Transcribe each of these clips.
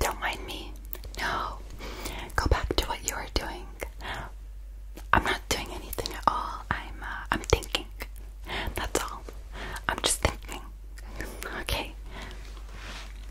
Don't mind me. No. Go back to what you were doing. I'm not doing anything at all. I'm uh, I'm thinking. That's all. I'm just thinking. okay.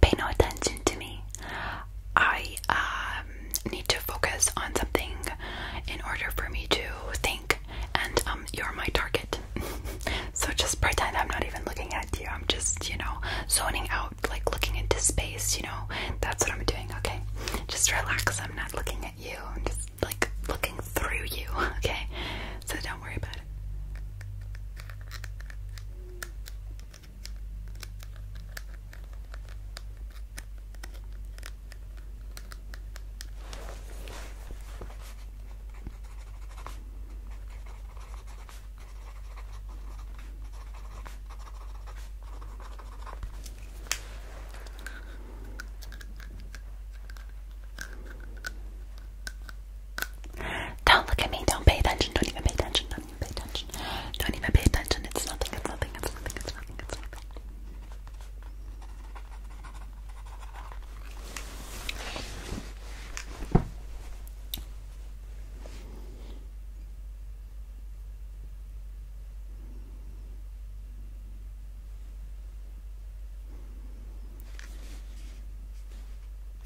pay no attention to me. I um, need to focus on something in order for me to think, and um, you're my target. so just pretend I'm not even looking at you. I'm just, you know, zoning out, like looking into space, you know. That's what I'm doing, okay? Just relax. I'm not looking at you. I'm just like looking through you, okay? so don't worry about it. Don't look at me. Don't pay attention. Don't even pay attention. Don't even pay attention. Don't even pay attention. It's nothing. It's nothing. It's nothing. It's nothing. It's nothing.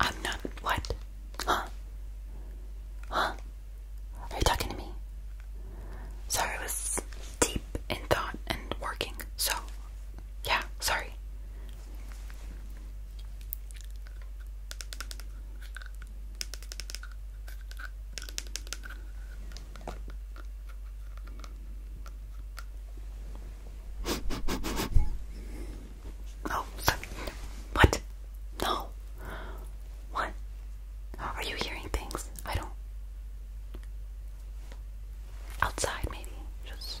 I'm not what? Huh? Huh? Are you talking to me? Sorry, I was deep in thought and working, so yeah, sorry. Oh, sorry. What? No. What? Are you hearing things? I don't. Outside, maybe. Just.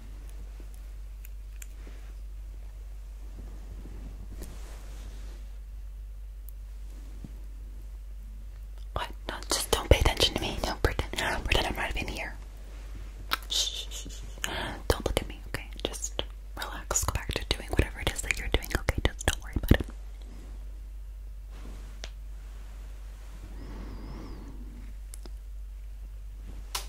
What? No, just don't pay attention to me. Don't pretend. pretend I'm not even here. Shh, shh, shh. Don't look at me, okay? Just relax. Go back to doing whatever it is that you're doing, okay? Just don't worry about it.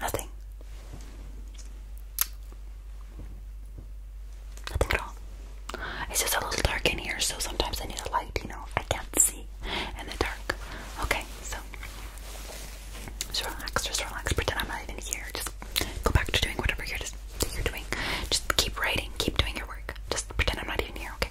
Nothing. Nothing at all. It's just a little dark in here, so sometimes I need a light, you know. I can't see in the dark. Okay, so just relax, just relax. Pretend I'm not even here. Just go back to doing whatever you're just doing. Just keep writing, keep doing your work. Just pretend I'm not even here, okay.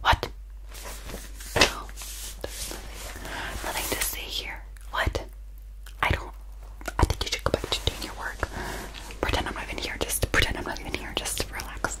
What? nothing. to see here. What? I don't. I think you should go back to doing your work. Pretend I'm not even here. Just pretend I'm not even here. Just relax.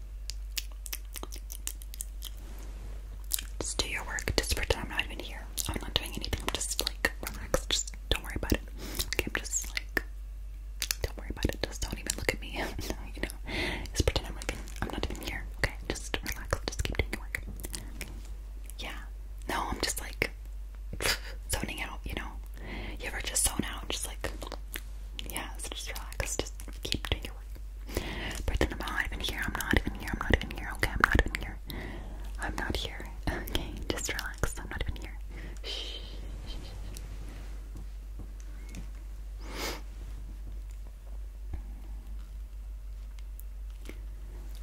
Just do your work. Just pretend I'm not even here. I'm not doing anything. I'm just like relaxed. Just don't worry about it. Okay, I'm just like don't worry about it. Just don't even look at me. no, you know. Just pretend I'm not even I'm not even here. Okay, just relax. Just keep doing your work. Okay. Yeah. No, I'm just like zoning out. You know. You ever just zone out? Just like yeah. So just relax. Just keep doing your I'm not even here. I'm not even here. I'm not even here. Okay, I'm not even here. I'm not here. Okay, just relax. I'm not even here.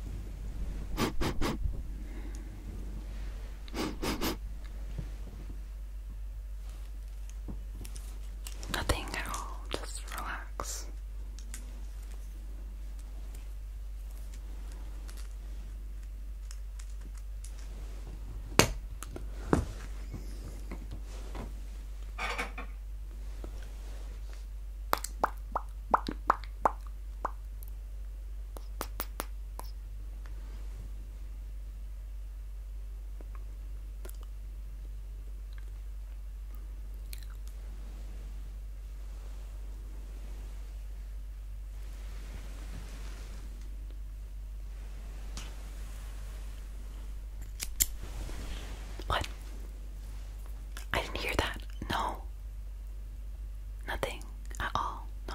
Nothing at all, just relax. What? I didn't hear that. No. Nothing at all. No.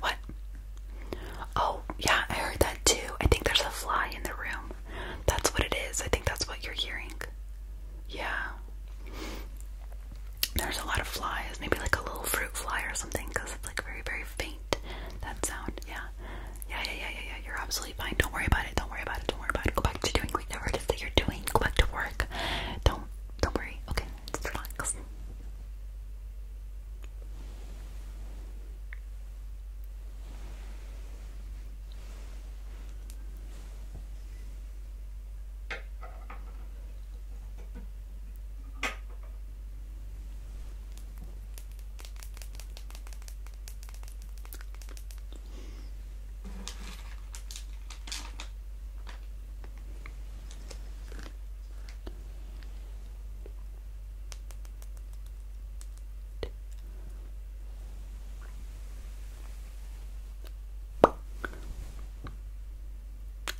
What? Oh, yeah, I heard that too. I think there's a fly in the room. That's what it is. I think that's what you're hearing. Yeah. There's a lot of flies. Maybe like a little fruit fly or something because it's like very, very faint. That sound. Yeah, yeah, yeah, yeah, yeah. You're absolutely. Don't worry about it. Don't worry about it. Don't worry about it. Go back to doing whatever it is that you're doing. Go back to work. Don't don't worry. Okay, relax.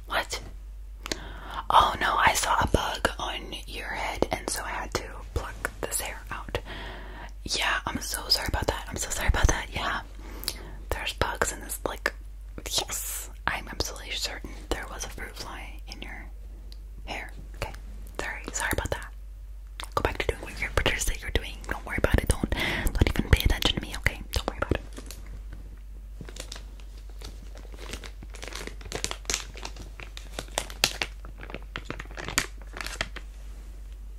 What? Oh no, I saw a bug on your head, and so I had to pluck this hair out. Yeah, I'm so sorry about that. I'm so sorry about that. Yeah, there's bugs in this. Like, yes, I'm absolutely certain there was a fruit fly in your hair. Okay, sorry, sorry about that. Go back to doing what your pretenders say you're doing. Don't worry about it. Don't, not even pay attention to me. Okay, don't worry about it.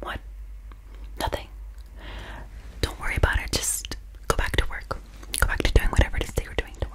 What? Nothing. Don't worry about it. Just go back to work. Go back to doing whatever it is that you're doing. to work.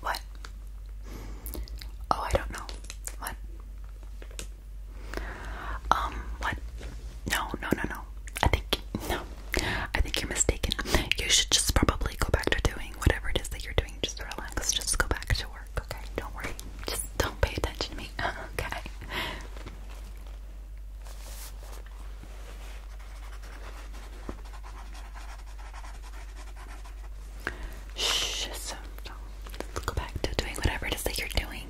What? Oh, I don't know. What? Um, what? No, no, no, no. I think no. I think you're mistaken. You should just probably go back to doing whatever it is that you're doing. Just relax. Just go back to work. Okay. Don't worry. Just don't pay attention to me. okay. Shh, go back to doing whatever it is that you're doing.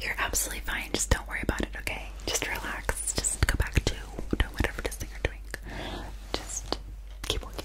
You're absolutely fine. Just don't worry about it, okay? Just relax. Just go back to doing whatever it is that you're doing. Just keep walking.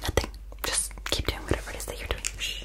Nothing. Just keep doing whatever it is that you're doing. Shh,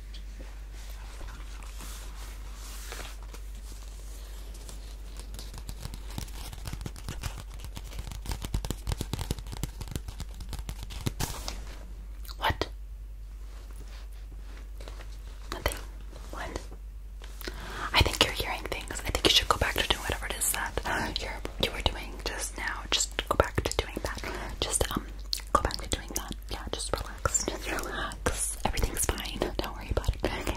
What? Nothing. What? I think you're hearing things. I think you should go back to doing whatever it is that you're you were doing just now. Just go back to doing that. Just um go back to doing that yeah, just relax, just relax. Everything's fine. Don't worry about it. Okay,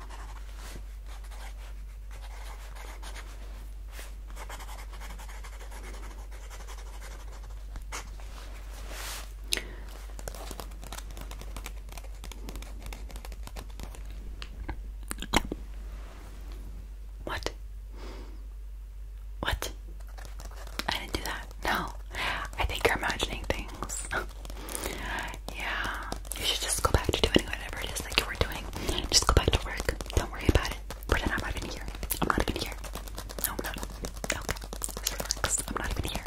What? What? I didn't do that. No. I think you're imagining things. Yeah. You should just go back to doing whatever it is that you were doing. Just go back to work. Don't worry about it. I'm not even here. I'm not even here. No, I'm Okay. I'm not even here.